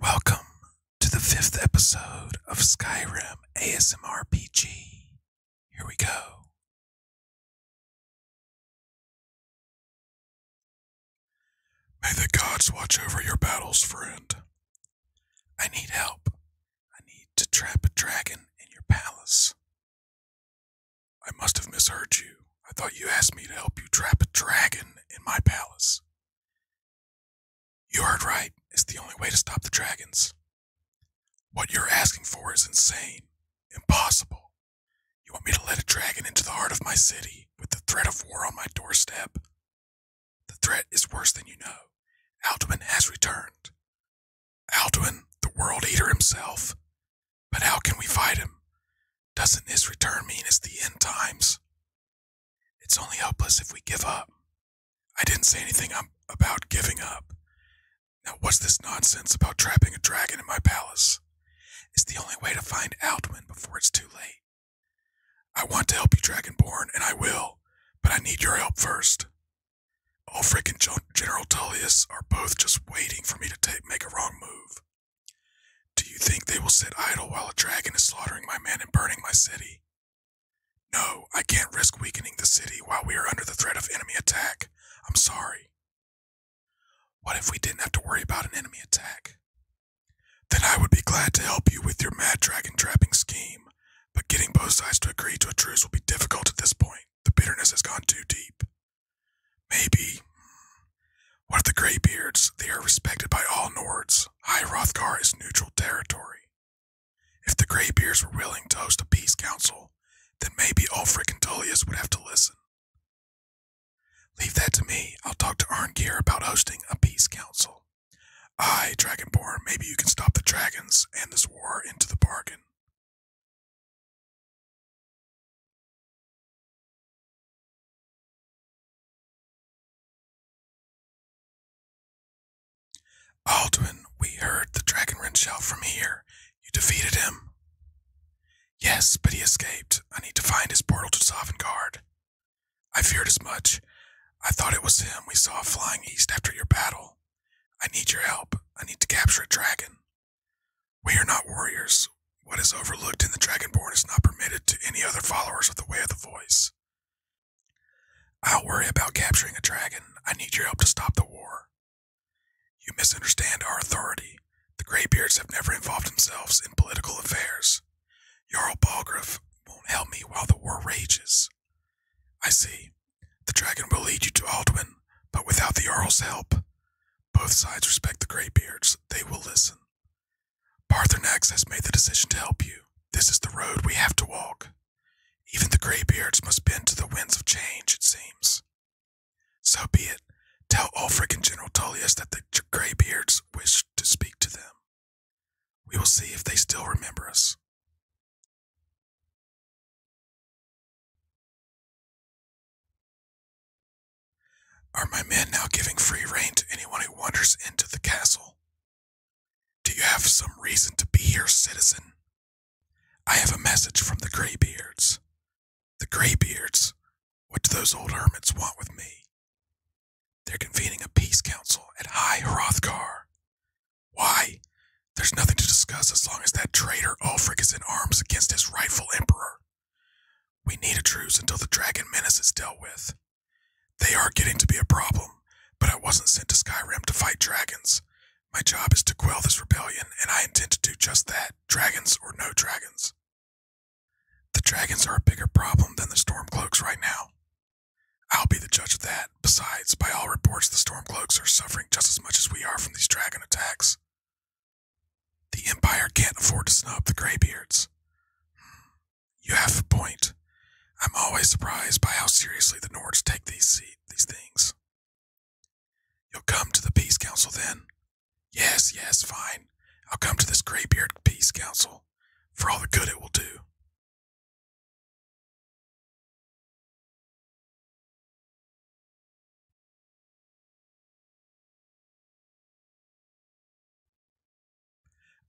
Welcome to the fifth episode of Skyrim ASMRPG. Here we go. May the gods watch over your battles, friend. I need help. I need to trap a dragon in your palace I must have misheard you. I thought you asked me to help you trap a dragon in my palace. You heard right. It's the only way to stop the dragons. What you're asking for is insane, impossible. You want me to let a dragon into the heart of my city with the threat of war on my doorstep? The threat is worse than you know. Alduin has returned. Alduin, the world eater himself, but how can we fight him? Doesn't his return mean it's the end times? It's only hopeless if we give up. I didn't say anything about giving up. Now, what's this nonsense about trapping a dragon in my palace? It's the only way to find out when before it's too late. I want to help you, Dragonborn, and I will, but I need your help first. Ulfric oh, and General Tullius are both just waiting for me to make a wrong move. Do you think they will sit idle while a dragon is slaughtering my men and burning my city? No, I can't risk weakening the city while we are under the threat of enemy attack. I'm sorry. What if we didn't have to worry about an enemy attack? Then I would be glad to help you with your mad dragon trapping scheme, but getting both sides to agree to a truce will be difficult at this point. The bitterness has gone too deep. Maybe. Hmm. What of the Greybeards? They are respected by all Nords. High Hrothgar is neutral territory. If the Greybeards were willing to host a peace council, then maybe Ulfric and Tullius would have to listen. Leave that to me. I'll talk to Arngear about hosting a peace council. I, Dragonborn, maybe you can stop the dragons and this war into the bargain. Alduin, we heard the dragonwren shout from here. You defeated him. Yes, but he escaped. I need to find his portal to Sovngarde. I feared as much. I thought it was him we saw flying east after your battle. I need your help. I need to capture a dragon. We are not warriors. What is overlooked in the Dragonborn is not permitted to any other followers of the Way of the Voice. I'll worry about capturing a dragon. I need your help to stop the war. You misunderstand our authority. The Greybeards have never involved themselves in political affairs. Jarl Balgriff won't help me while the war rages. I see. The dragon will lead you to Aldwin, but without the earl's help, both sides respect the Graybeards. They will listen. Parthenax has made the decision to help you. This is the road we have to walk. Even the Graybeards must bend to the winds of change, it seems. So be it. Tell Ulfric and General Tullius that the Graybeards wish to speak to them. We will see if they still remember us. Are my men now giving free rein to anyone who wanders into the castle? Do you have some reason to be here, citizen? I have a message from the Graybeards. The Graybeards. What do those old hermits want with me? They're convening a peace council at High Hrothgar. Why? There's nothing to discuss as long as that traitor Ulfric is in arms against his rightful emperor. We need a truce until the dragon menace is dealt with. They are getting to be a problem, but I wasn't sent to Skyrim to fight dragons. My job is to quell this rebellion, and I intend to do just that, dragons or no dragons. The dragons are a bigger problem than the Stormcloaks right now. I'll be the judge of that. Besides, by all reports, the Stormcloaks are suffering just as much as we are from these dragon attacks. The Empire can't afford to snub the graybeards. You have a point. I'm always surprised by how seriously the Nords take these these things. You'll come to the Peace Council then? Yes, yes, fine. I'll come to this graybeard Peace Council for all the good it will do.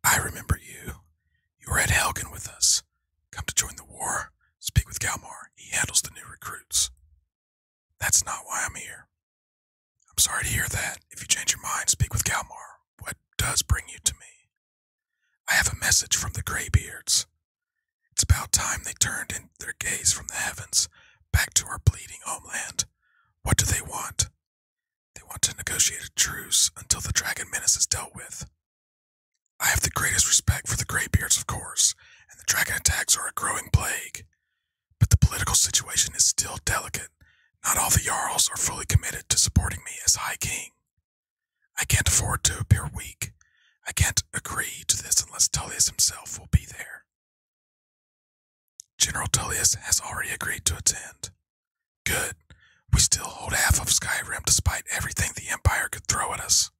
I remember you. You were at Helgen with us. Come to join the war. Speak with Galmar. He handles the new recruits. That's not why I'm here. I'm sorry to hear that. If you change your mind, speak with Galmar. What does bring you to me? I have a message from the Graybeards. It's about time they turned their gaze from the heavens back to our bleeding homeland. What do they want? They want to negotiate a truce until the dragon menace is dealt with. I have the greatest respect for the Greybeards, of course, and the dragon attacks are a growing plague. But the political situation is still delicate. Not all the Jarls are fully committed to supporting me as High King. I can't afford to appear weak. I can't agree to this unless Tullius himself will be there. General Tullius has already agreed to attend. Good. We still hold half of Skyrim despite everything the Empire could throw at us.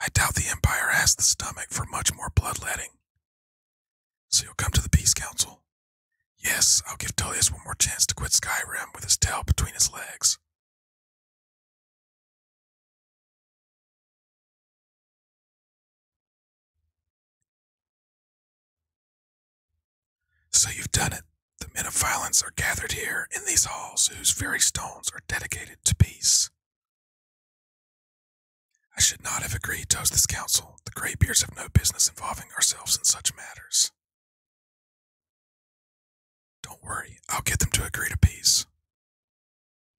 I doubt the Empire has the stomach for much more bloodletting. So you'll come to the Peace Council? Yes, I'll give Tullius one more chance to quit Skyrim with his tail between his legs. So you've done it. The men of violence are gathered here in these halls, whose very stones are dedicated to peace. I should not have agreed to host this council. The Greybeards have no business involving ourselves in such matters. Don't worry, I'll get them to agree to peace.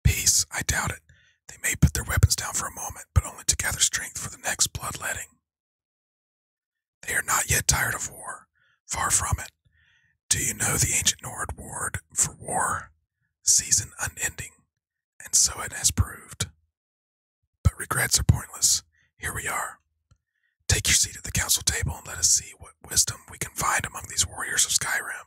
Peace, I doubt it. They may put their weapons down for a moment, but only to gather strength for the next bloodletting. They are not yet tired of war. Far from it. Do you know the ancient Nord word for war? Season unending. And so it has proved. But regrets are pointless. Here we are. Take your seat at the council table and let us see what wisdom we can find among these warriors of Skyrim.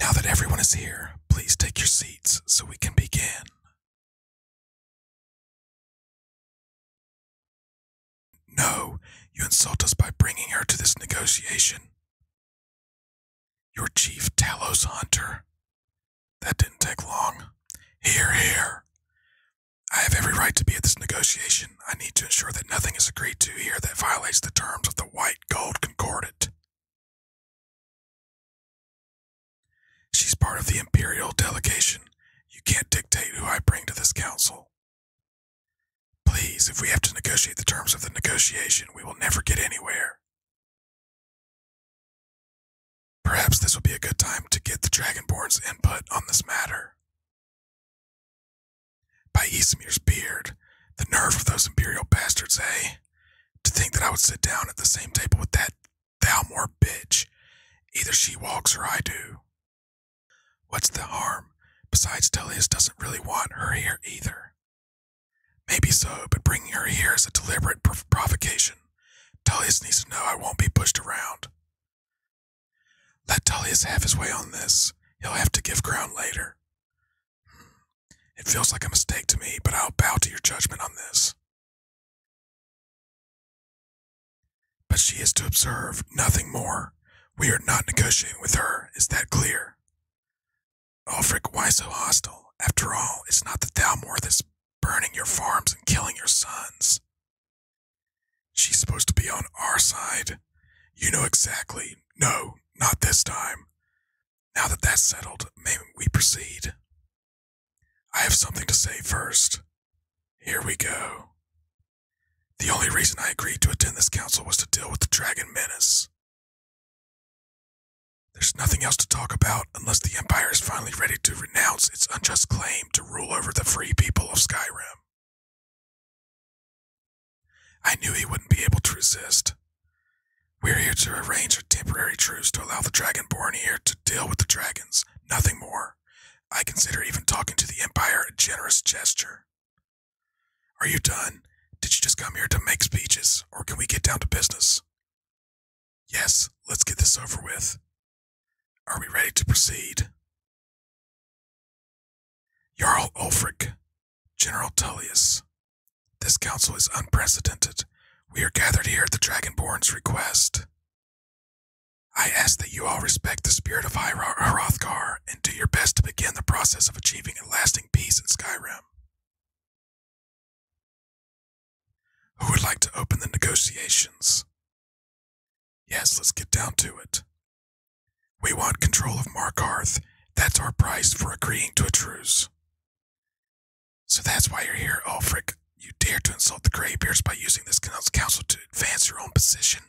Now that everyone is here, please take your seats so we can begin. No, you insult us by bringing her to this negotiation. Your chief Talos Hunter. That didn't take long. Here, here. I have every right to be at this negotiation. I need to ensure that nothing is agreed to here that violates the terms of the White Gold Concordat. She's part of the Imperial delegation. You can't dictate who I bring to this council. Please, if we have to negotiate the terms of the negotiation, we will never get anywhere. Perhaps this will be a good time to get the Dragonborn's input on this matter. By Isamir's beard, the nerve of those Imperial bastards, eh? To think that I would sit down at the same table with that Thalmor bitch. Either she walks or I do. What's the harm? Besides, Tellius doesn't really want her here either. Maybe so, but bringing her here is a deliberate provocation. Tullius needs to know I won't be pushed around. Let Tullius have his way on this. He'll have to give ground later. Hmm. It feels like a mistake to me, but I'll bow to your judgment on this. But she is to observe nothing more. We are not negotiating with her, is that clear? Ulfric, why so hostile? After all, it's not the Thalmor that's burning your farms and killing your sons. She's supposed to be on our side. You know exactly. No, not this time. Now that that's settled, may we proceed. I have something to say first. Here we go. The only reason I agreed to attend this council was to deal with the Dragon Menace. There's nothing else to talk about unless the Empire is finally ready to renounce its unjust claim to rule over the free people of Skyrim. I knew he wouldn't be able to resist, we're here to arrange a temporary truce to allow the Dragonborn here to deal with the dragons, nothing more. I consider even talking to the Empire a generous gesture. Are you done? Did you just come here to make speeches, or can we get down to business? Yes, let's get this over with. Are we ready to proceed? Jarl Ulfric, General Tullius, this council is unprecedented. We are gathered here at the Dragonborn's request. I ask that you all respect the spirit of Hrothgar and do your best to begin the process of achieving a lasting peace in Skyrim. Who would like to open the negotiations? Yes, let's get down to it. We want control of Markarth. That's our price for agreeing to a truce. So that's why you're here, Ulfric. Oh, you dare to insult the Greybeards by using this council to advance your own position.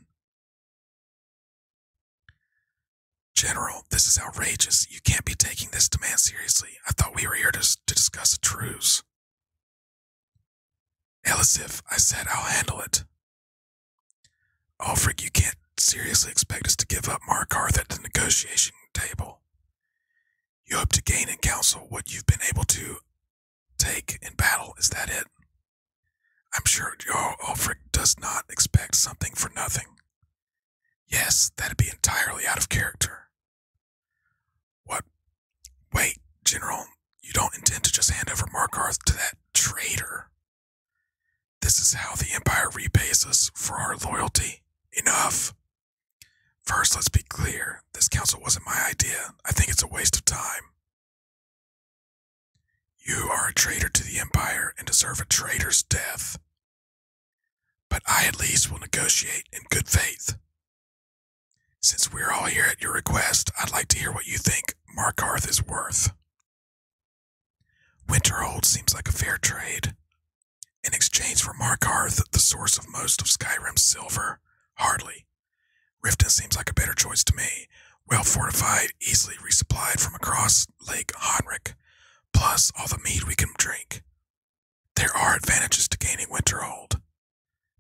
General, this is outrageous. You can't be taking this demand seriously. I thought we were here to, to discuss a truce. Elisif, I said I'll handle it. Ulfric, oh, you can't seriously expect us to give up Markarth at the negotiation table. You hope to gain in council what you've been able to take in battle, is that it? I'm sure your Ulfric does not expect something for nothing. Yes, that'd be entirely out of character. What? Wait, General, you don't intend to just hand over Markarth to that traitor. This is how the Empire repays us for our loyalty. Enough! First, let's be clear this council wasn't my idea. I think it's a waste of time. You are a traitor to the Empire and deserve a traitor's death. But I at least will negotiate in good faith. Since we're all here at your request, I'd like to hear what you think Markarth is worth. Winterhold seems like a fair trade. In exchange for Markarth, the source of most of Skyrim's silver, hardly. Riften seems like a better choice to me. Well fortified, easily resupplied from across Lake Honrik, plus all the mead we can drink. There are advantages to gaining Winterhold.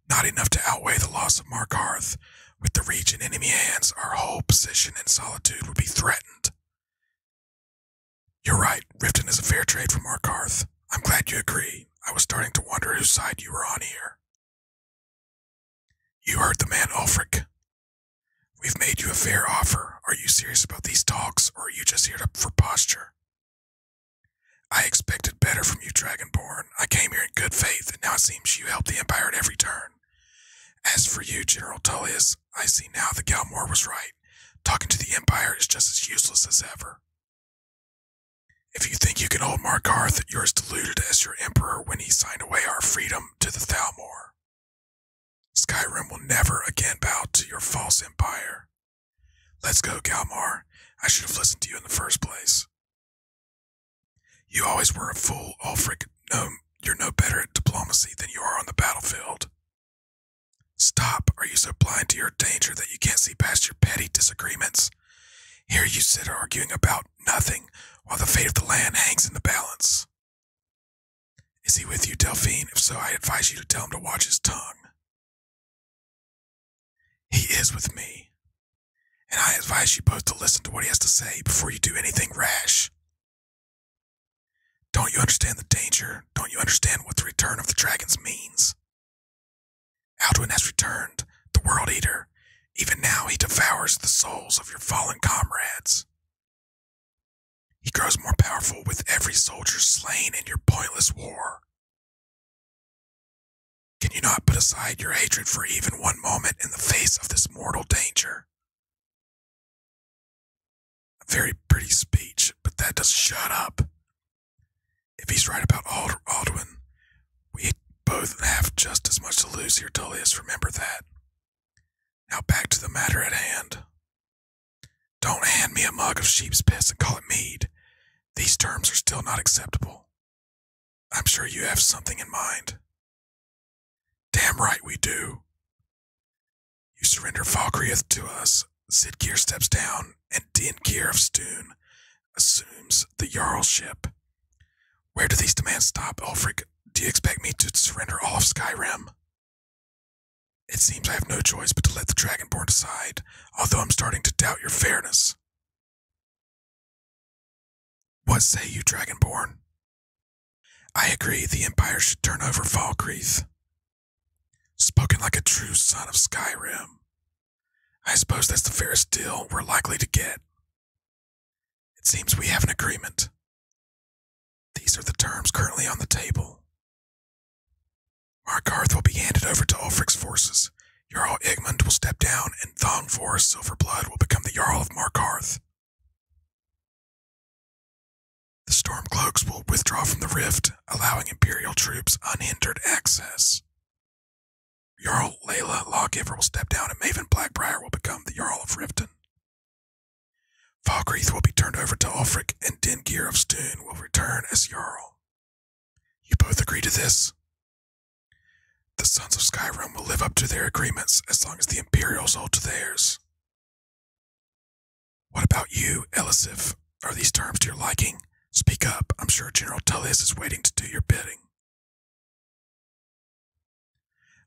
Not enough to outweigh the loss of Markarth. With the region in enemy hands, our whole position in solitude would be threatened. You're right. Riften is a fair trade from Arkarth. I'm glad you agree. I was starting to wonder whose side you were on here. You heard the man, Ulfric. We've made you a fair offer. Are you serious about these talks, or are you just here to, for posture? I expected better from you, Dragonborn. I came here in good faith, and now it seems you help the Empire at every turn. As for you, General Tullius, I see now that Galmore was right talking to the Empire is just as useless as ever. If you think you can hold Markarth, you're as deluded as your Emperor when he signed away our freedom to the Thalmor. Skyrim will never again bow to your false empire. Let's go, Galmar. I should have listened to you in the first place. You always were a fool, Ulfric. No, you're no better at diplomacy than you are on the battlefield. Stop. Are you so blind to your danger that you can't see past your petty disagreements? Here you sit arguing about nothing while the fate of the land hangs in the balance. Is he with you, Delphine? If so, I advise you to tell him to watch his tongue. He is with me, and I advise you both to listen to what he has to say before you do anything rash. Don't you understand the danger? Don't you understand what the return of the dragons means? Alduin has returned, the World Eater. Even now he devours the souls of your fallen comrades. He grows more powerful with every soldier slain in your pointless war. Can you not put aside your hatred for even one moment in the face of this mortal danger? A very pretty speech, but that doesn't shut up. If he's right about Ald we both have just as much to lose here, Tullius. Remember that. Now back to the matter at hand. Don't hand me a mug of sheep's piss and call it mead. These terms are still not acceptable. I'm sure you have something in mind. Damn right we do. You surrender Falkreath to us. Sidgear steps down, and Din Gear of Stoon assumes the Jarlship. Where do these demands stop, Ulfric? Do you expect me to surrender all of Skyrim? It seems I have no choice but to let the Dragonborn decide, although I'm starting to doubt your fairness. What say you, Dragonborn? I agree the Empire should turn over Falkreath. Spoken like a true son of Skyrim. I suppose that's the fairest deal we're likely to get. It seems we have an agreement. These are the terms currently on the table. Markarth will be handed over to Ulfric's forces. Jarl Egmund will step down, and Thongfor Silverblood will become the Jarl of Markarth. The Stormcloaks will withdraw from the rift, allowing Imperial troops unhindered access. Jarl Layla Lawgiver will step down, and Maven Blackbriar will become the Jarl of Riften. Falkreath will be turned over to Ulfric, and Dingir of Stoon will return as Jarl. You both agree to this? The Sons of Skyrim will live up to their agreements as long as the Imperials hold to theirs. What about you, Elisif? Are these terms to your liking? Speak up. I'm sure General Tullius is waiting to do your bidding.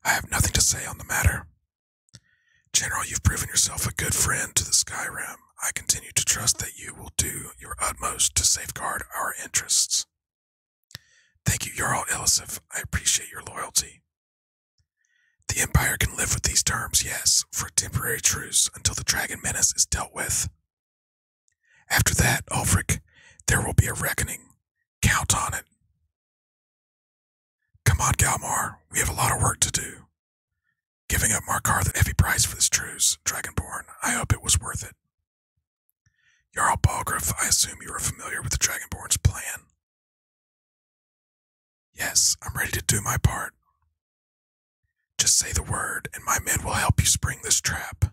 I have nothing to say on the matter. General, you've proven yourself a good friend to the Skyrim. I continue to trust that you will do your utmost to safeguard our interests. Thank you, Jarl Elisif. I appreciate your loyalty. The Empire can live with these terms, yes, for a temporary truce until the dragon menace is dealt with. After that, Ulfric, there will be a reckoning. Count on it. Come on, Galmar, we have a lot of work to do. Giving up Markar the heavy price for this truce, Dragonborn, I hope it was worth it. Jarl Balgriff, I assume you are familiar with the Dragonborn's plan. Yes, I'm ready to do my part. Just say the word, and my men will help you spring this trap.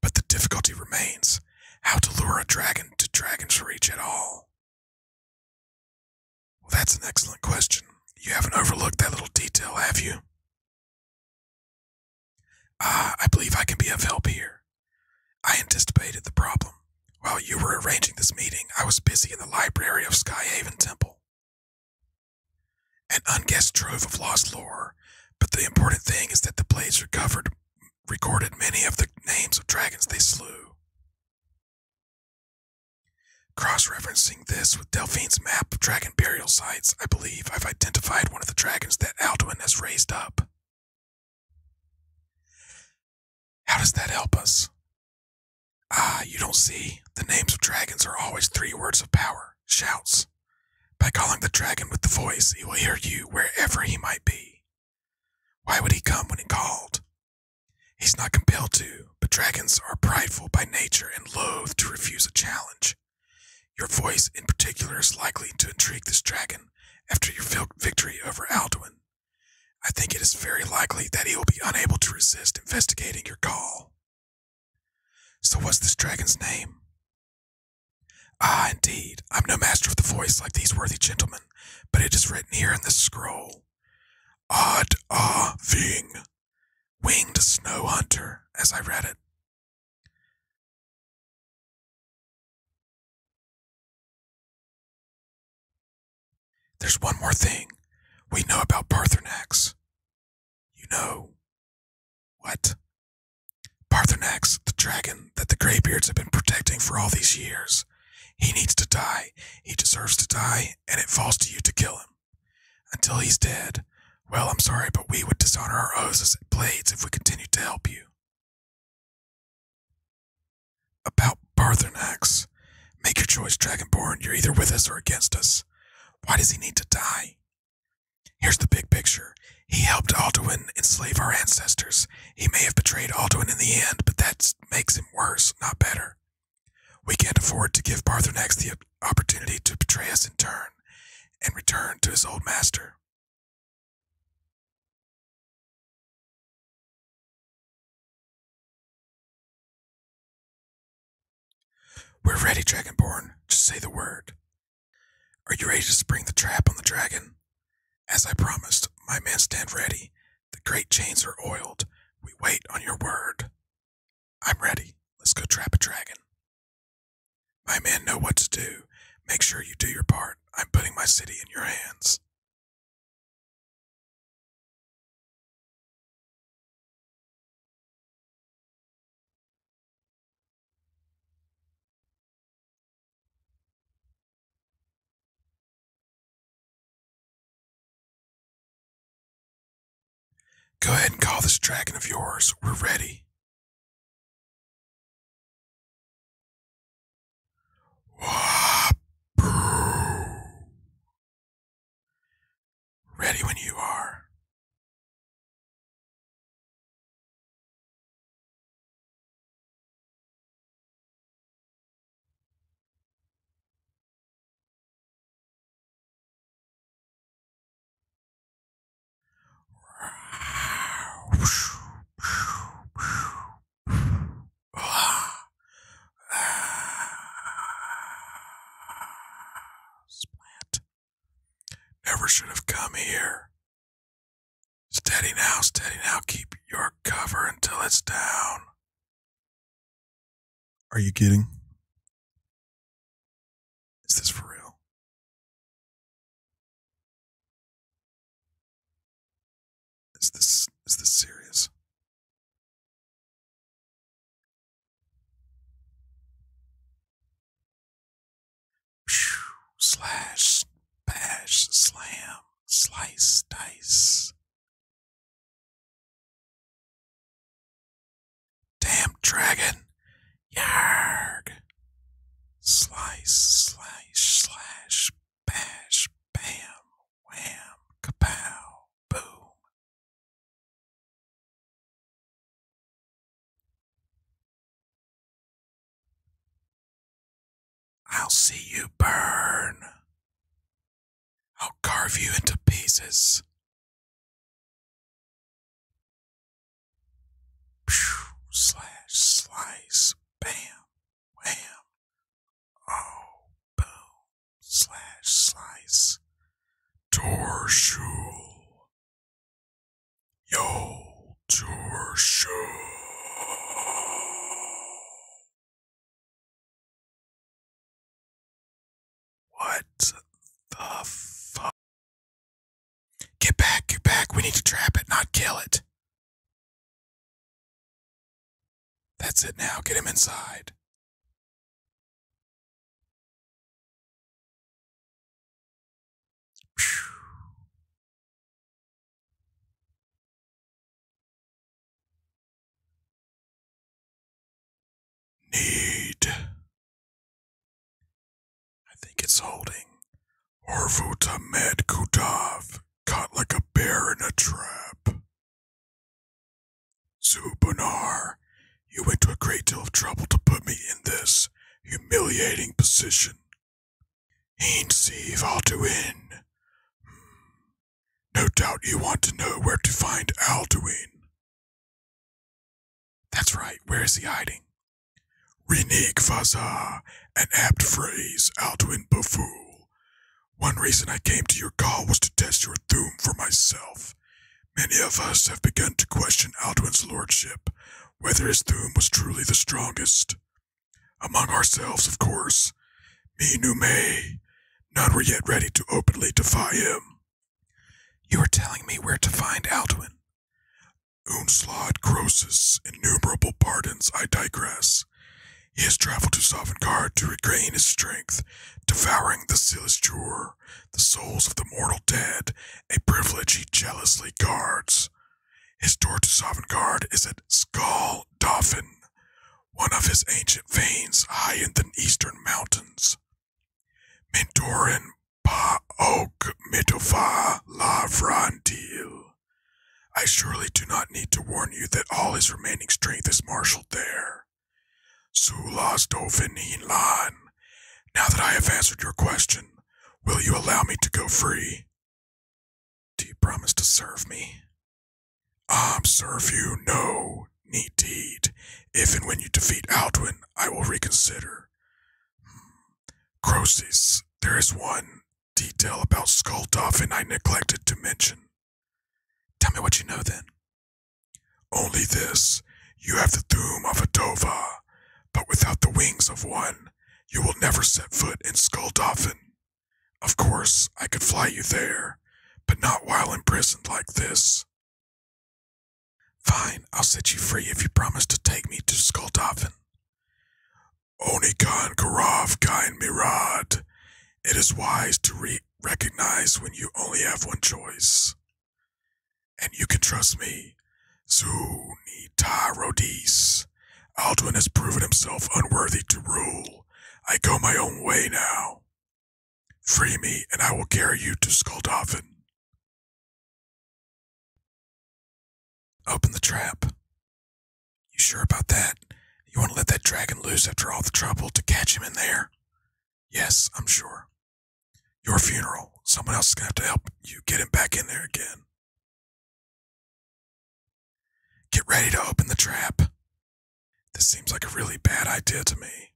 But the difficulty remains how to lure a dragon to Dragon's Reach at all. Well, that's an excellent question. You haven't overlooked that little detail, have you? Ah, I believe I can be of help here. I anticipated the problem. While you were arranging this meeting, I was busy in the library of Skyhaven Temple. An unguessed trove of lost lore, but the important thing is that the blades recovered recorded many of the names of dragons they slew. Cross referencing this with Delphine's map of dragon burial sites, I believe I've identified one of the dragons that Alduin has raised up. How does that help us? Ah, you don't see? The names of dragons are always three words of power, shouts. By calling the dragon with the voice, he will hear you wherever he might be. Why would he come when he called? He's not compelled to, but dragons are prideful by nature and loath to refuse a challenge. Your voice in particular is likely to intrigue this dragon after your victory over Alduin. I think it is very likely that he will be unable to resist investigating your call. So, what's this dragon's name? Ah, indeed, I'm no master of the voice like these worthy gentlemen, but it is written here in the scroll. Odd Ah Ving, Winged Snow Hunter, as I read it. There's one more thing we know about Parthenax. You know. What? Parthenax, the dragon that the Graybeards have been protecting for all these years. He needs to die. He deserves to die, and it falls to you to kill him. Until he's dead, well, I'm sorry, but we would dishonor our oaths as blades if we continued to help you. About Parthenax. Make your choice, Dragonborn. You're either with us or against us. Why does he need to die? Here's the big picture. He helped Alduin enslave our ancestors. He may have betrayed Alduin in the end, but that makes him worse, not better. We can't afford to give Parthenax the opportunity to betray us in turn and return to his old master. We're ready, Dragonborn. Just say the word. Are you ready to spring the trap on the dragon? As I promised, my men stand ready. The great chains are oiled. We wait on your word. I'm ready. Let's go trap a dragon. My men know what to do. Make sure you do your part. I'm putting my city in your hands. Go ahead and call this dragon of yours. We're ready. Ready when you are. Ah. Splant. Never should have come here. Steady now, steady now. Keep your cover until it's down. Are you kidding? Is this for real? Is this is this serious? slash, bash, slam, slice, dice. Damn dragon, yarg. Slice, slash, slash, bash, bam, wham, kapow, boom. I'll see you burn. I'll carve you into pieces. Pew, slash, slice, bam, wham. Oh, boom slash slice torshul yo torshul what the fuck get back get back we need to trap it not kill it that's it now get him inside Need. I think it's holding. Orvuta Med Kutov, caught like a bear in a trap. Zubanar, you went to a great deal of trouble to put me in this humiliating position. Ain't Sieve I'll do in. Hmm. No doubt you want to know where to find Alduin. That's right, where is he hiding? Renik Vazar, an apt phrase, Alduin Baful. One reason I came to your call was to test your doom for myself. Many of us have begun to question Alduin's lordship, whether his doom was truly the strongest. Among ourselves, of course, me knew me; None were yet ready to openly defy him. You are telling me where to find Alduin. Unslod Croesus, innumerable pardons, I digress. He has traveled to Sovngarde to regain his strength, devouring the Silas Jur the souls of the mortal dead, a privilege he jealously guards. His door to Sovngarde is at Skaldofin, one of his ancient veins high in the eastern mountains. Mendorin Mentorin oak Mitova Lavrandil. I surely do not need to warn you that all his remaining strength is marshaled there. Sulas in Lan, now that I have answered your question, will you allow me to go free? Do you promise to serve me? I'll um, serve you, no, need deed. If and when you defeat Altwin, I will reconsider. Hmm. Croesus, there is one detail about Skulldov and I neglected to mention. Tell me what you know then. Only this. You have the doom of a dova, but without the wings of one, you will never set foot in Skull Of course, I could fly you there, but not while imprisoned like this. Fine, I'll set you free if you promise to take me to Skull Dolphin. Onikan Kain Mirad. It is wise to recognize when you only have one choice. And you can trust me. Zunita Rodis. Alduin has proven himself unworthy to rule. I go my own way now. Free me, and I will carry you to Skuldoffin. Open the trap. You sure about that? You want to let that dragon loose after all the trouble to catch him in there? Yes, I'm sure. Your funeral. Someone else is going to have to help you get him back in there again. Get ready to open the trap. This seems like a really bad idea to me.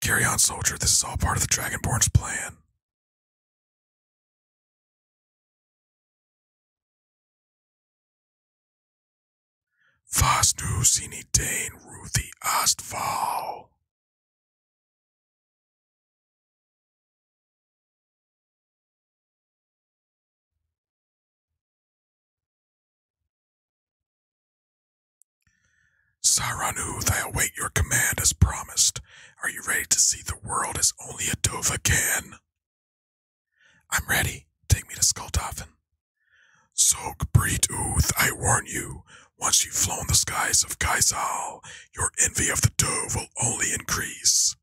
Carry on, soldier. This is all part of the Dragonborn's plan. Was du sie nicht den Ruthie Astval? Saranu, I await your command as promised. Are you ready to see the world as only a Dova can? I'm ready. Take me to Skulltoffin. Soak, Breed Ooth, I warn you, once you've flown the skies of Kaisal, your envy of the dove will only increase.